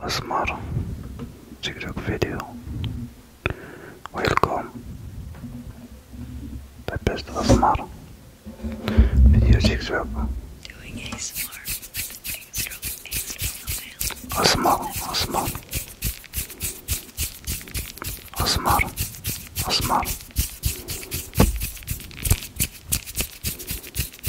Asmar TikTok video. Welcome. The best Asmar video six web. Doing ASMR. Extra, extra Asmar, Asmar.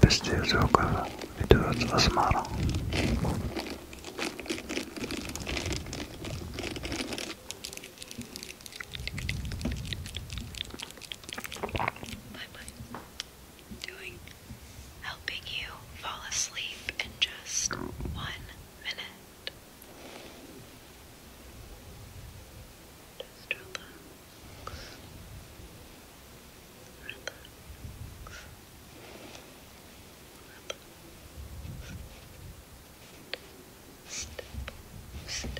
Beste is ook even. Die doet als maar. Bye bye. Doing helping you fall asleep in just one minute. Just relax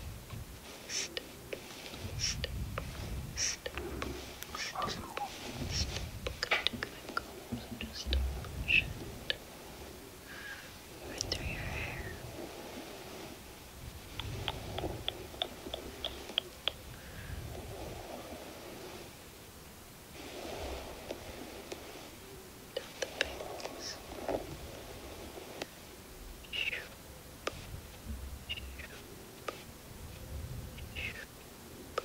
my combs and just push it right through your hair. Down the bangs. Shoop. Shoop. Shoop. Shoop.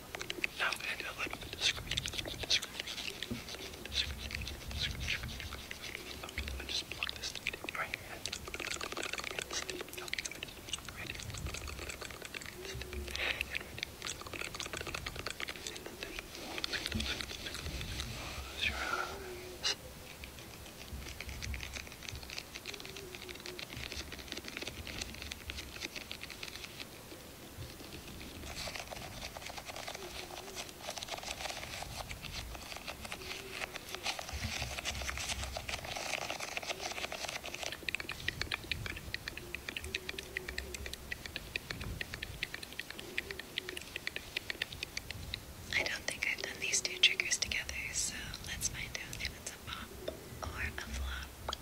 Now I'm going to do a little bit of scratching, a little bit of scratching, a little bit of scratching, scratching, scratching. Okay, let me just plug this thing in right here. Ready? And ready. And then close your eyes. I don't think I've done these two triggers together, so let's find out if it's a pop or a flop.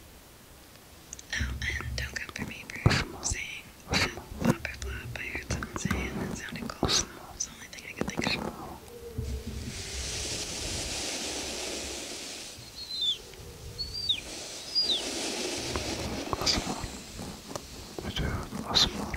Oh, and don't come for me for saying that flop. I heard someone say and it sounded cool, it's the only thing I could think of. Asmar. I do Asmar.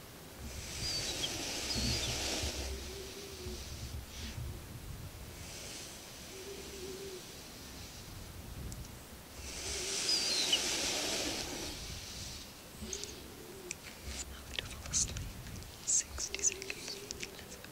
I'm going to fall asleep. 60 seconds. Let's go.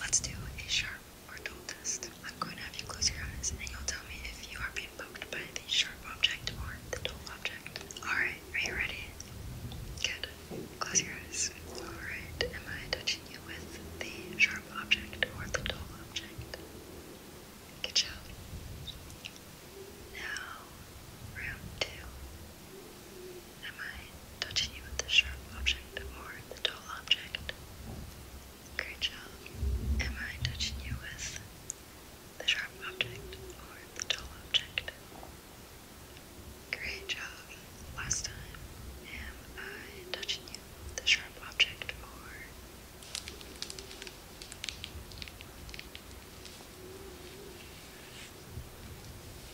Let's do a sharp or dull test. I'm going to have you close your eyes and you'll tell me if you are being poked by the sharp object or the dull object. Alright, are you ready? Good. Close your eyes. Alright, am I touching you with the sharp object or the dull object? Good job. Now, round two. Am I touching you with the sharp object or the dull object? Great job. Am I touching you with the sharp object or the dull object? Great job. Last time, am I touching you with the sharp object or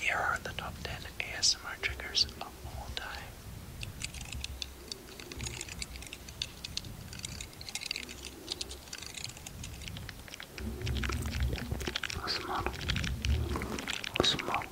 Here are the top 10 ASMR triggers of all time. Osmar. Osmar.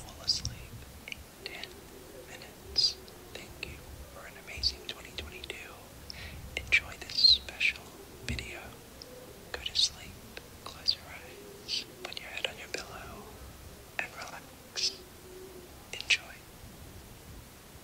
Fall asleep in 10 minutes. Thank you for an amazing 2022. Enjoy this special video. Go to sleep, close your eyes, put your head on your pillow, and relax. Enjoy.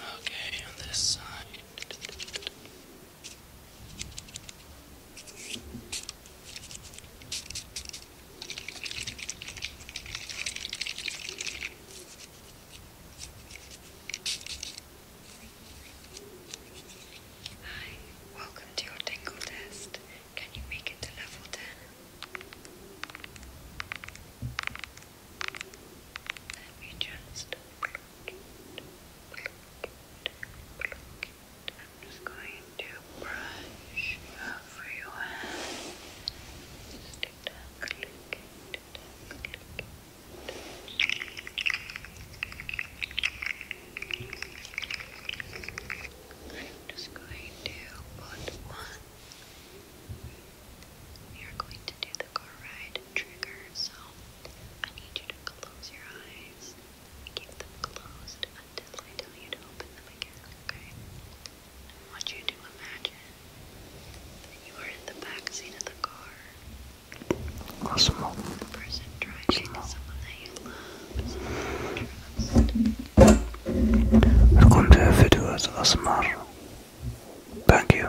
Okay, on this side. Hi, welcome to your tingle test. Can you make it to level 10? Let me just I'm just going to brush over your hand. Just to tuck, just going to put one. We are going to do the car ride trigger, so I need you to close your eyes Keep them closed until I tell you to open them again, okay? I want you to imagine that you are in the back seat of the car. The person driving is someone that you love, someone that you trust. Asmar. Thank you.